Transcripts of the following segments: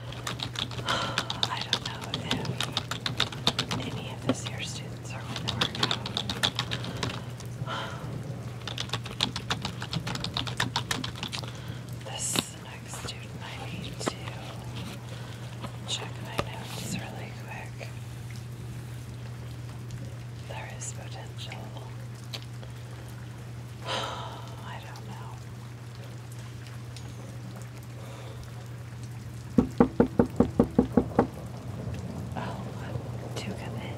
I don't know if any of this year's students are going to work out. This next student I need to check my notes really quick. There is potential. I don't know. Oh, do come in.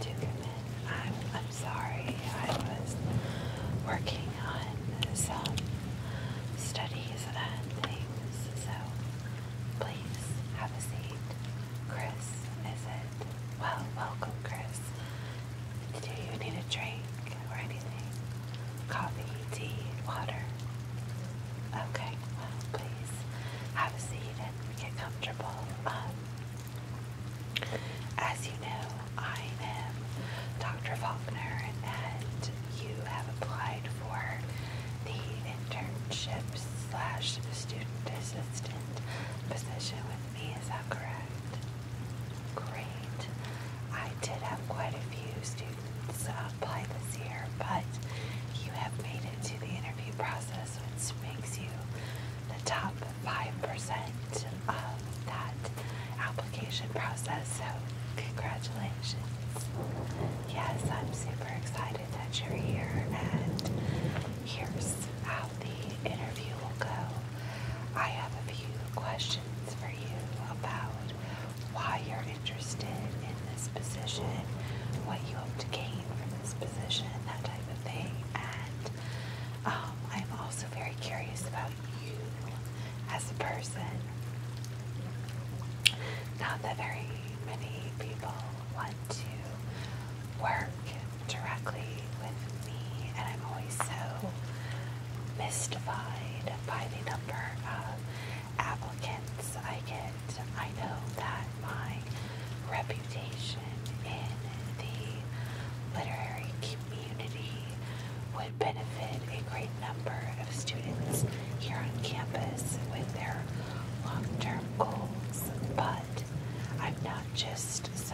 Do come in. I'm I'm sorry. I was working on some studies and things, so please have a seat. Chris, is it? Well, welcome, Chris. Do you need a drink or anything? Coffee, tea, water? Okay, well, please have a seat and get comfortable. Um, as you know, I am Dr. Faulkner, and you have applied for the internship slash student assistant position with me. Is that correct? great. I did have quite a few students uh, apply this year, but you have made it to the interview process, which makes you the top 5% of that application process. So, congratulations. Yes, I'm super excited that you're here, and here's how the interview will go. I have a few questions for you about why you're interested in this position, what you hope to gain from this position, that type of thing. And um, I'm also very curious about you as a person. Not that very many people want to work directly with me, and I'm always so mystified by the number of applicants I get. I know that my reputation in the literary community would benefit a great number of students here on campus with their long term goals, but I'm not just this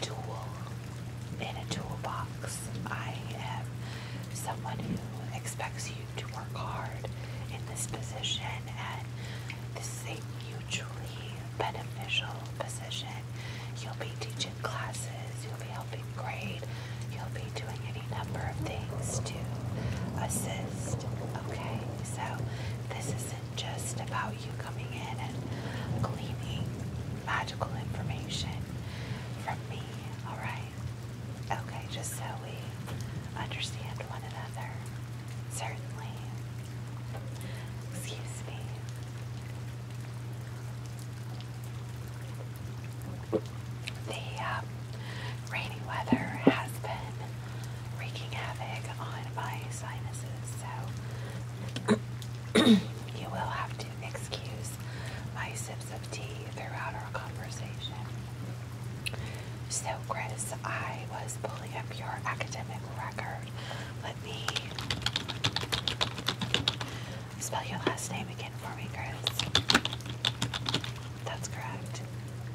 tool in a toolbox. I am someone who expects you to work hard in this position, and this is a mutually beneficial position. You'll be teaching classes, you'll be helping grade, you'll be doing any number of things to assist. Okay, so this is just about you coming in and gleaming magical information from me, alright? Okay, just so we understand one another. Certainly. Excuse me. The um, rainy weather has been wreaking havoc on my sinuses, so you will have to excuse my sips of tea throughout our conversation. So, Chris, I was pulling up your academic record. Let me spell your last name again for me, Chris. That's correct.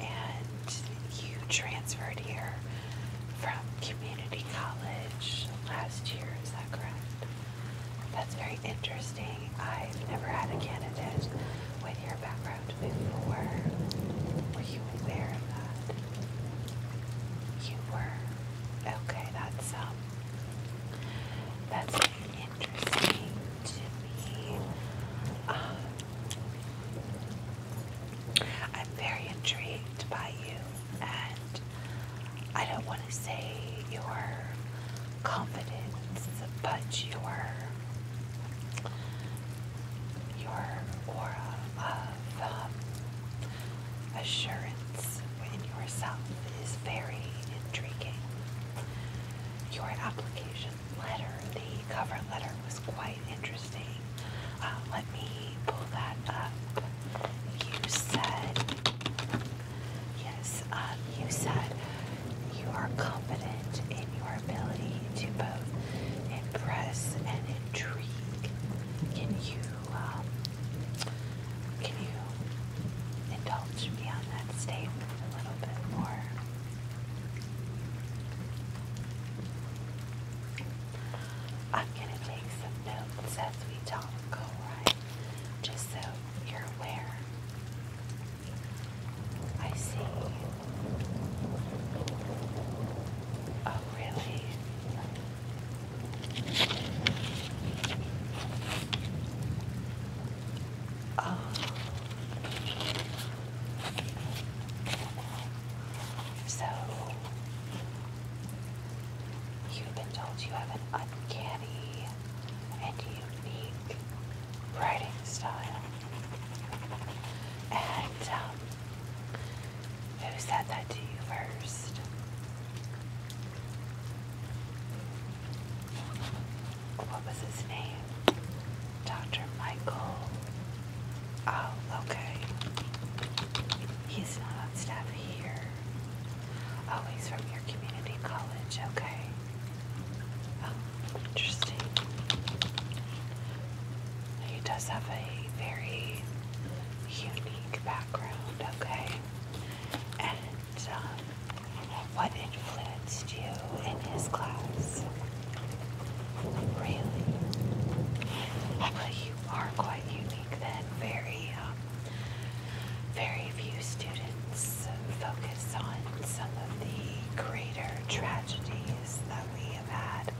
And you transferred here from community college last year, is that correct? That's very interesting. I've never had a candidate with your background before. Were you aware of that? You were. Okay, that's um that's interesting to me. Um, I'm very intrigued by you and I don't want to say your confidence, but your your aura of um, assurance in yourself is very intriguing. Your application letter, the cover letter, was quite interesting. Uh, let me pull that up. You said, yes, um, you said you are confident in your ability to both impress and intrigue. Can you, um, can you indulge me on that statement a little bit more? I'm going to take some notes as we talk, alright? Just so you're aware. I see. Oh, really? Oh. So, You've been told you have an uncanny and unique writing style. And um, who said that to you first? What was his name? Dr. Michael Oh, okay. He's not on staff here. Oh, he's from your community college. Okay. Oh, interesting. He does have a very unique background. Okay. And um, what influenced you in his class? Really? Well, you are quite unique then. Very, um, very few students focus on some of the greater tragedies that we have had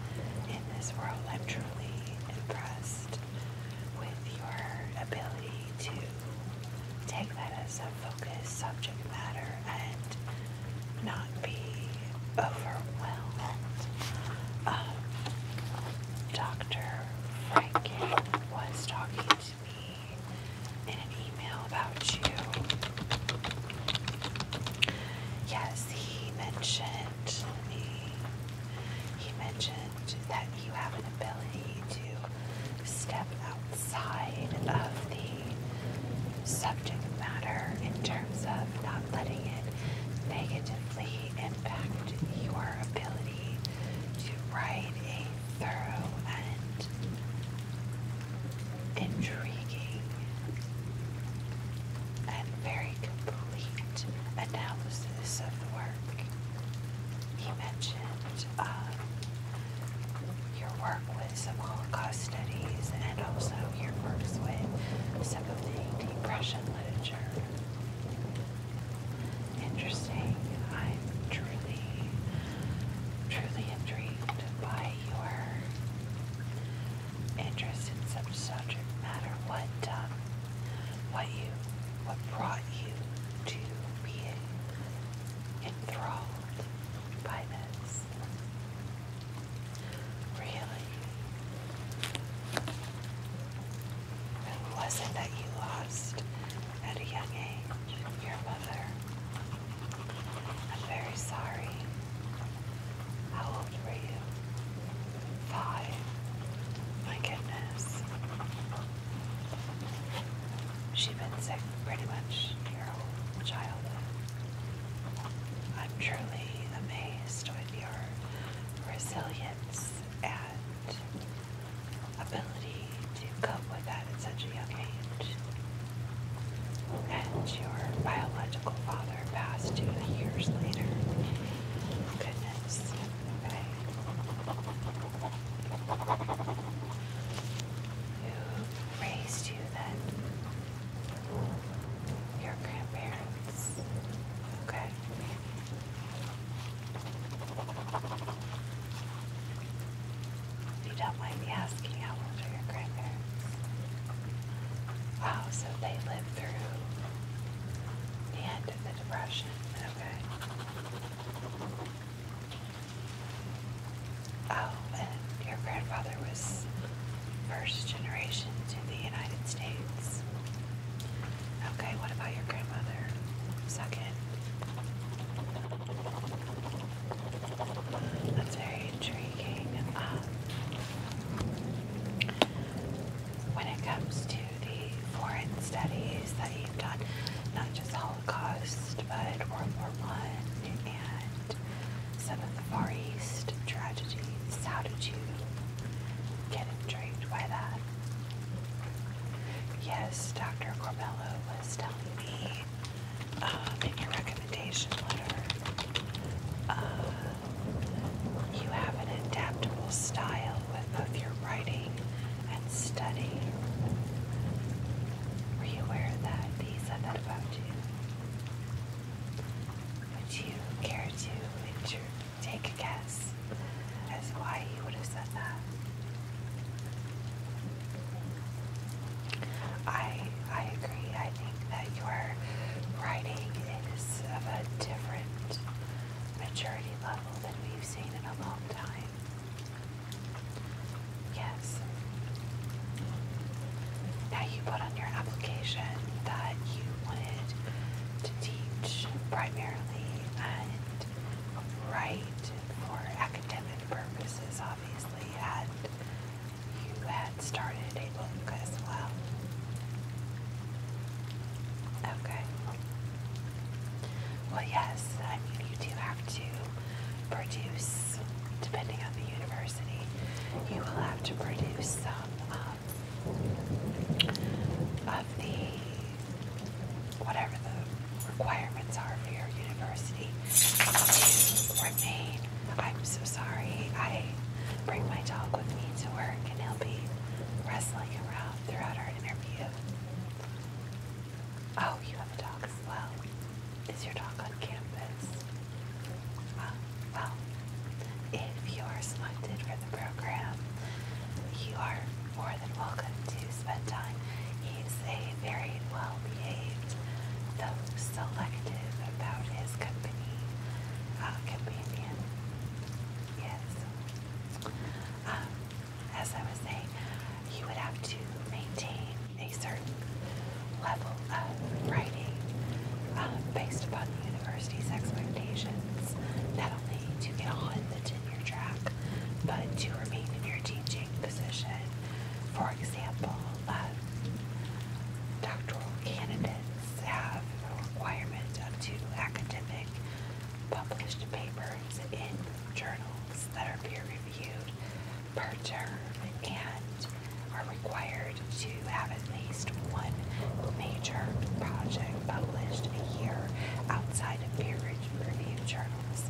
in this world. I'm truly impressed with your ability to take that as a focused subject matter and not not be overwhelmed. Um, Dr. Franken was talking to me in an email about you. Yes, he mentioned the, he mentioned that you have an ability to step outside of the subject matter in terms not letting it negatively impact your ability to write a thorough and intriguing and very complete analysis of the work. He mentioned um, your work with some Holocaust studies and also your work with some of the Depression literature. Interesting. I'm truly, truly intrigued by your interest in such subject matter. What, um, what you, what brought you to be enthralled by this? Really? Who was it that you lost at a young age? Your mother. I'm very sorry. How old were you? Five. My goodness. She's been sick pretty much your whole childhood. I'm truly amazed your resilience and ability to cope with that at such a young age. And your biological father passed two years later. Goodness. Who raised you then? your grandparents. Okay. You don't mind me asking how old are your grandparents? Wow, so they lived through the end of the Depression. Okay. Oh, and your grandfather was first generation to the United States. Okay, what about your grandmother? Second. That's very intriguing. Um, when it comes to the foreign studies that you've done, not just Holocaust, but World War One and some of the Far East tragedies. How did you get intrigued by that? Yes, Dr. Corbello was telling me um, in your recommendation letter, uh, you have an adaptable style with both your writing and study. Were you aware of that? He said that about you. Would you care to take a guess as why he would have said that? I I agree. I think that your writing is of a different maturity level than we've seen in a long time. Yes. Now you put on your application that you wanted to teach primarily and write for academic purposes, obviously, and you had started a book as well. Okay. Well, yes, I mean, you do have to produce, depending on the university University, you will have to produce some um, of the whatever the requirements are for your university I'm so sorry. I bring my dog with me to work, and he'll be wrestling around throughout our interview. Oh, you have a dog as well. Is your dog on campus? Well, well, if you are selected for the program, you are more than welcome to spend time. He's a very well-behaved, though selective about his company, uh, companion. Yes. Um, as I was saying, you would have to maintain a certain level of writing um, based upon the university's expectations, not only to get on the tenure track, but to remain in your teaching position. For example, um, doctoral candidates have a requirement of two academic published papers in journals that are peer reviewed per term and are required to have at least one major project published a year outside of peer reviewed journals.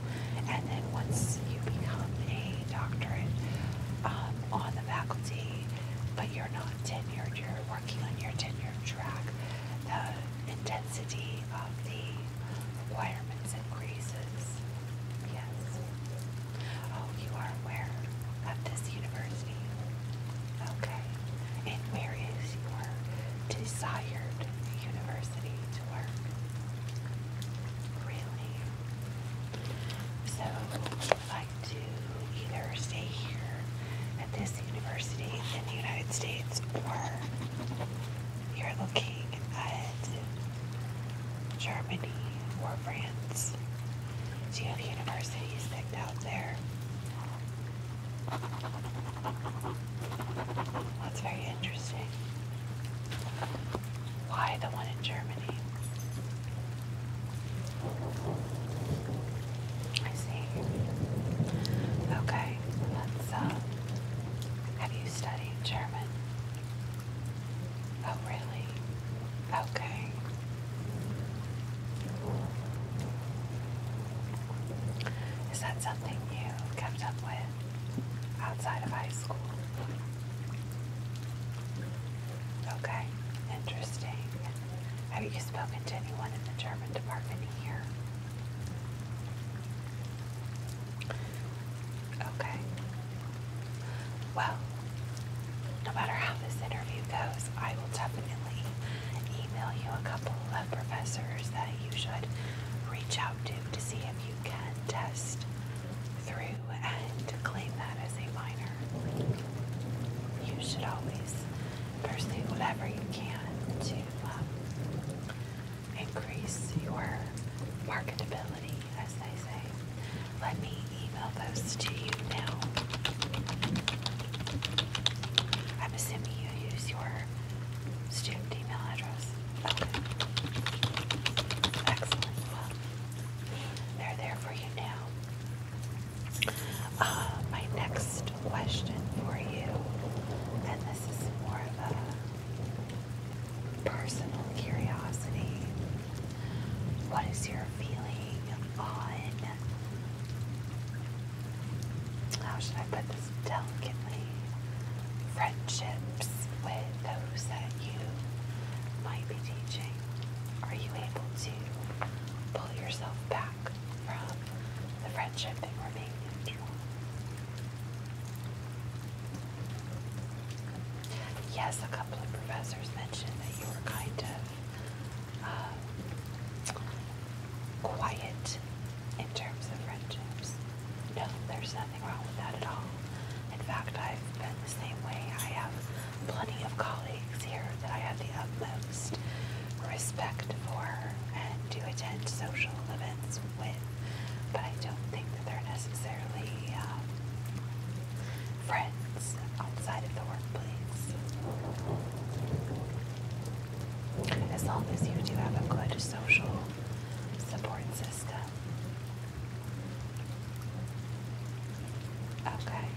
And then once you become a doctorate um, on the faculty, but you're not tenured, you're working on your tenure track, the intensity of the requirements increases. Yes. Oh, you are aware of this university. Okay. And where is your desired university to work? Really? So, would like to either stay here at this university in the United States or you're looking at Germany or France. Do you have universities picked out there? That's very interesting. Why the one in Germany? I see. Okay, let's, um, have you studied German? Oh, really? Okay. Is that something you kept up with outside of high school? Okay, interesting. Have you spoken to anyone in the German department here? Okay, well, no matter how this interview goes, I will definitely email you a couple of professors that you should reach out to to see if you can test through and claim that as a minor. You should always pursue whatever you can to um, increase your marketability responsibility, as they say. Let me email those to you now. I'm you use your student email address. Excellent. they're there for you now. Uh, my next question for you, and this is more of a personal curiosity, what is your feeling on? How should I put this delicately? Friendships with those that you might be teaching. Are you able to pull yourself back from the friendship and remain neutral? Yes, a couple of professors mentioned that you were kind of um, quiet in terms of friendships. No, there's nothing wrong with that at all. In fact, I've been the same way. I have plenty of colleagues here that I have the utmost respect for and do attend social events with, but I don't think that they're necessarily um, friends outside of the workplace. As long as you do have a good social support system. Okay.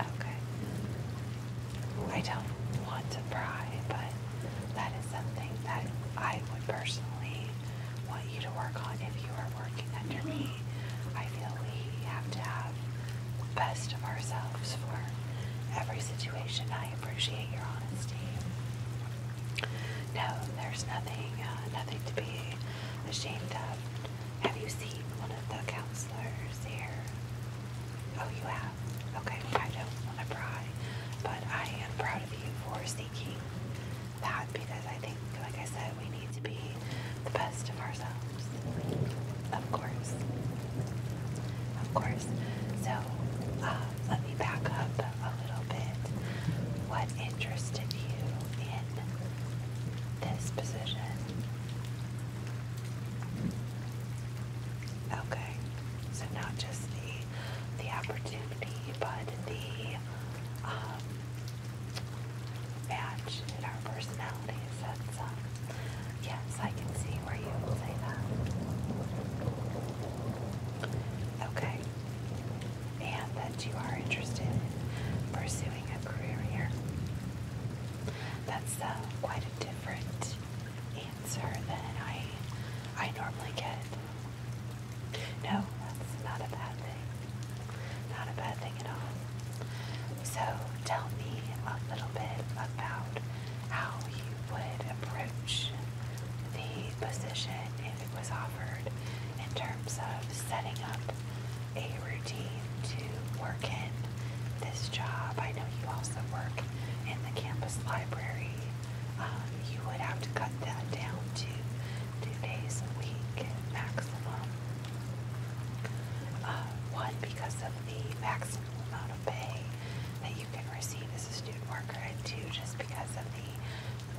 Okay. I don't want to pry, but that is something that I would personally want you to work on if you are working under me. I feel we have to have best of ourselves for every situation. I appreciate your honesty. No, there's nothing, uh, nothing to be ashamed of. Have you seen one of the counselors here? Oh, you have? Okay, I don't want to pry, but I am proud of you for seeking that because I think, like I said, we need to be the best of ourselves. Of course. Of course. So, um, let me back up a little bit. What interested you in this position? Okay. So, not just the the opportunity, but the um, match in our personalities. That's, uh, um, yes, I can see where you say that. Okay. And that you are interested in pursuing a career here. That's uh, quite a different answer than I I normally get. No, that's not a bad thing. Not a bad thing at all. So tell me a little bit about how you would approach the position if it was offered in terms of setting up a routine to work in this job. I know you also work in the campus library. Um, you would have to cut that down to two days a week maximum. Uh, one, because of the maximum amount of pay that you can receive as a student worker, and two, just because of the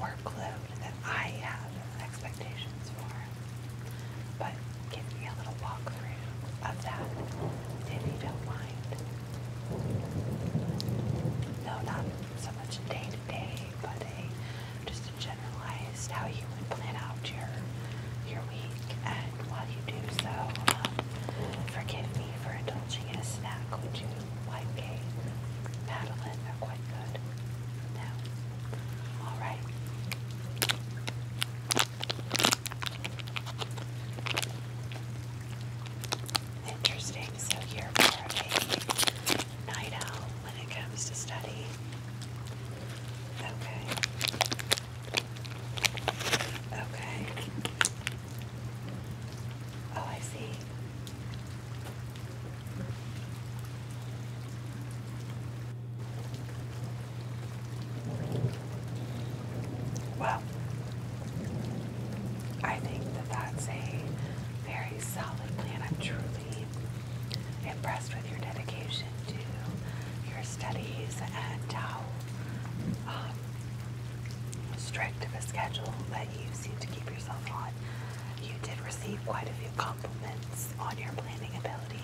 workload that I have expectations for. But give me a little walkthrough of that, if you don't mind. No, not so much day to day, but a just to generalize how you would plan out your your week. And while you do so, um, forgive me for indulging in a snack. Would you like a are quite good. No. All right. Interesting. So here for a night owl when it comes to study. Okay. Okay. Oh, I see. Well, I think that that's a very solid plan. I'm truly impressed with your dedication to your studies and how um, strict of a schedule that you seem to keep yourself on. You did receive quite a few compliments on your planning abilities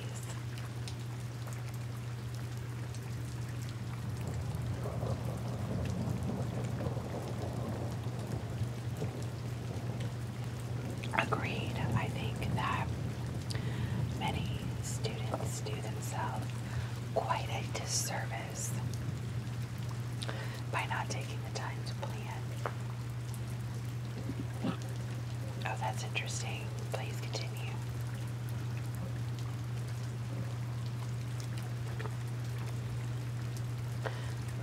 agreed. I think that many students do themselves quite a disservice by not taking the time to plan. Oh, that's interesting. Please continue.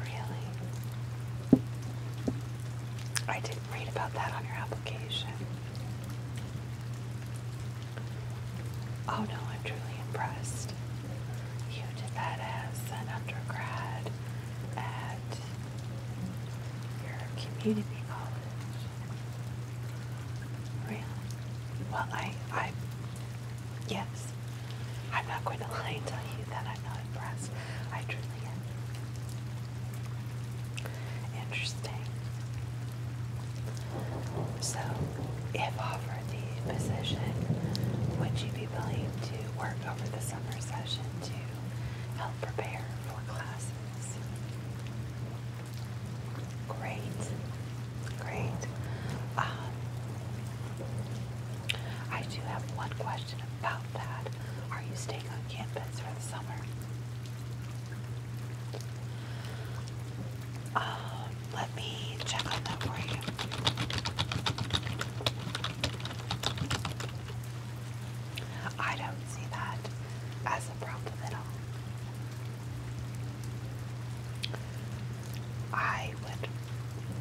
Really? I didn't read about that on your application. Oh no, I'm truly impressed. You did that as an undergrad at your community college. Really? Well, I, I, Yes, I'm not going to lie and tell you that I'm not impressed. I truly am. Interesting. So, if offered the position, would you be willing to work over the summer session to help prepare for classes? Great, great. Um, I do have one question about that. Are you staying on campus for the summer? Um, let me check on that for you. I don't see that as a problem at all. I would,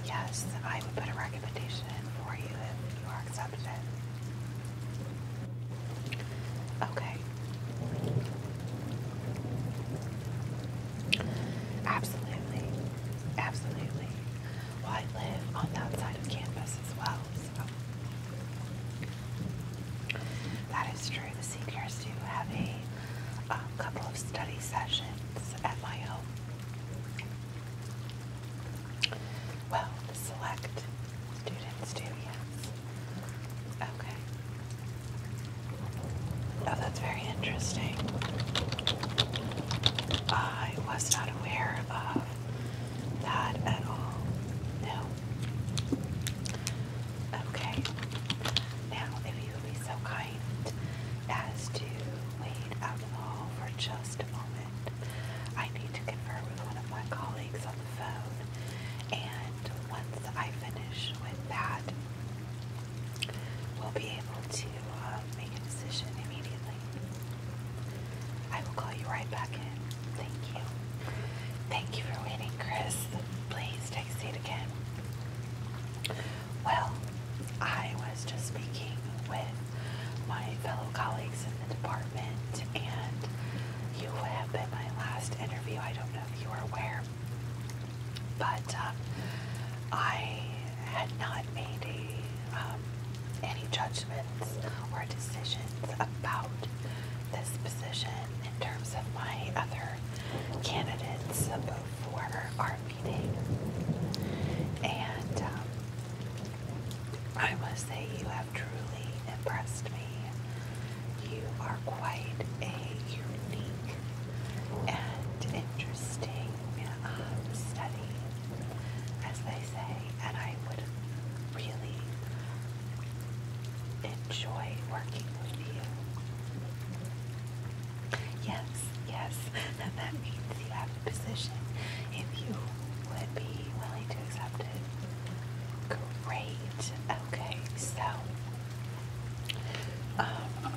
yes, I would put a recommendation in for you if you are accepted. Okay. Absolutely. Absolutely. Well, I live on that side of campus as well, so. That is true. The seniors do have a um, couple of study sessions house at my home. Well, the select students do, yes. Okay. Oh, that's very interesting. I was not aware of that at all. No. Okay. Now, if you would be so kind as to wade out of the hall for just a moment. I need to confer with one of my colleagues on the phone, and once I finish with that, we'll be able to uh, make a decision immediately. I will call you right back in. Thank you. Thank you for waiting, Chris. Please text it again. Well, I was just speaking with my fellow colleagues in the department, and you have been my last interview. I don't know if you are aware, but um, I had not made um, any judgments or decisions about this position in terms of my other candidates before our and um, I must say, you have truly impressed me. You are quite a unique and interesting um, study, as they say, and I would really enjoy working with you. Yes, yes. Now that means you have a position. If you would be willing to accept it. Great. Okay, so um,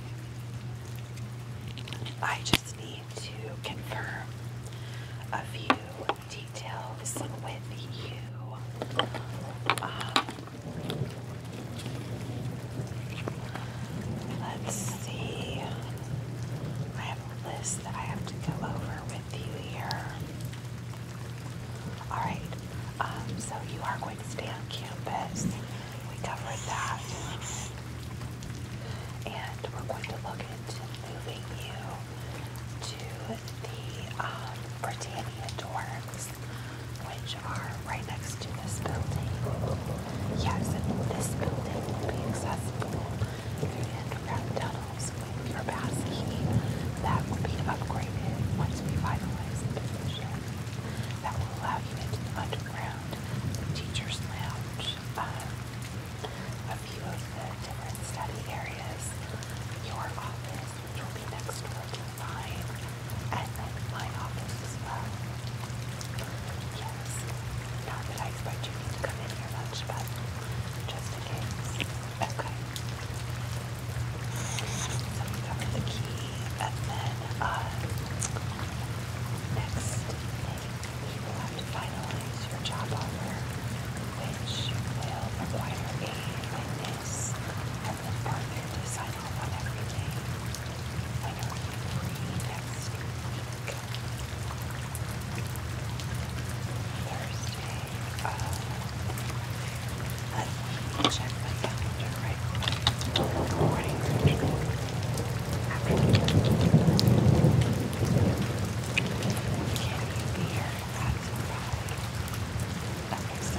I just need to confirm a few details with you. Um, Let's see. I have a list that I have to go over with you here. Alright, um, so you are going to stay on campus. We covered that. And we're going to look into moving you to the um, Britannia dorms which are right next to this building. Yes, and this building will be accessible through the underground tunnels with your pass key. that will be upgraded once we finalize the position. That will allow you into the underground teacher's lounge, um, a few of the different study areas, your office, which will be next door to mine, and then my office as well. Yes, not that I expect you to come in here much, but just in case. Okay. So we covered the key, and then uh, next thing will have to finalize your job offer, which will require a witness and the partner to decided on every day when are you free next week? let me check my calendar right away. Morning, afternoon. Can you be here at five? Okay, so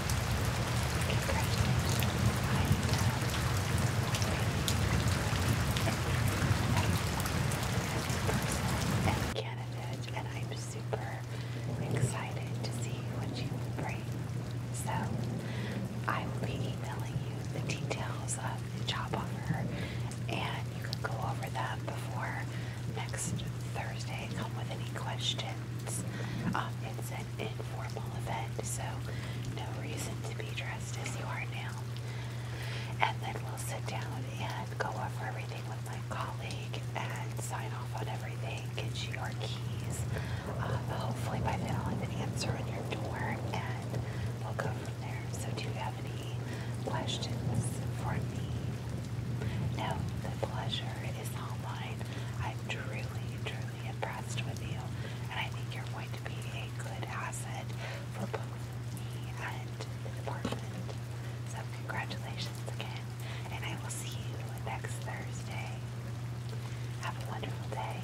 candidate, and I'm super excited to see what you bring. So, I will be emailing you the details of the job offer, and you can go over that before next Thursday. Come with any questions. Um, it's an informal event, so no reason to be dressed as you are now. And then we'll sit down and go over everything with my colleague and sign off on everything, get you your keys. Uh, hopefully by then I'll have an answer on your door and we'll go from there. So do you have any questions for me? No, the pleasure is all mine. I'm truly, truly impressed with you, and I think you're going to be a good asset for both me and the department. So, congratulations again, and I will see you next Thursday. Have a wonderful day.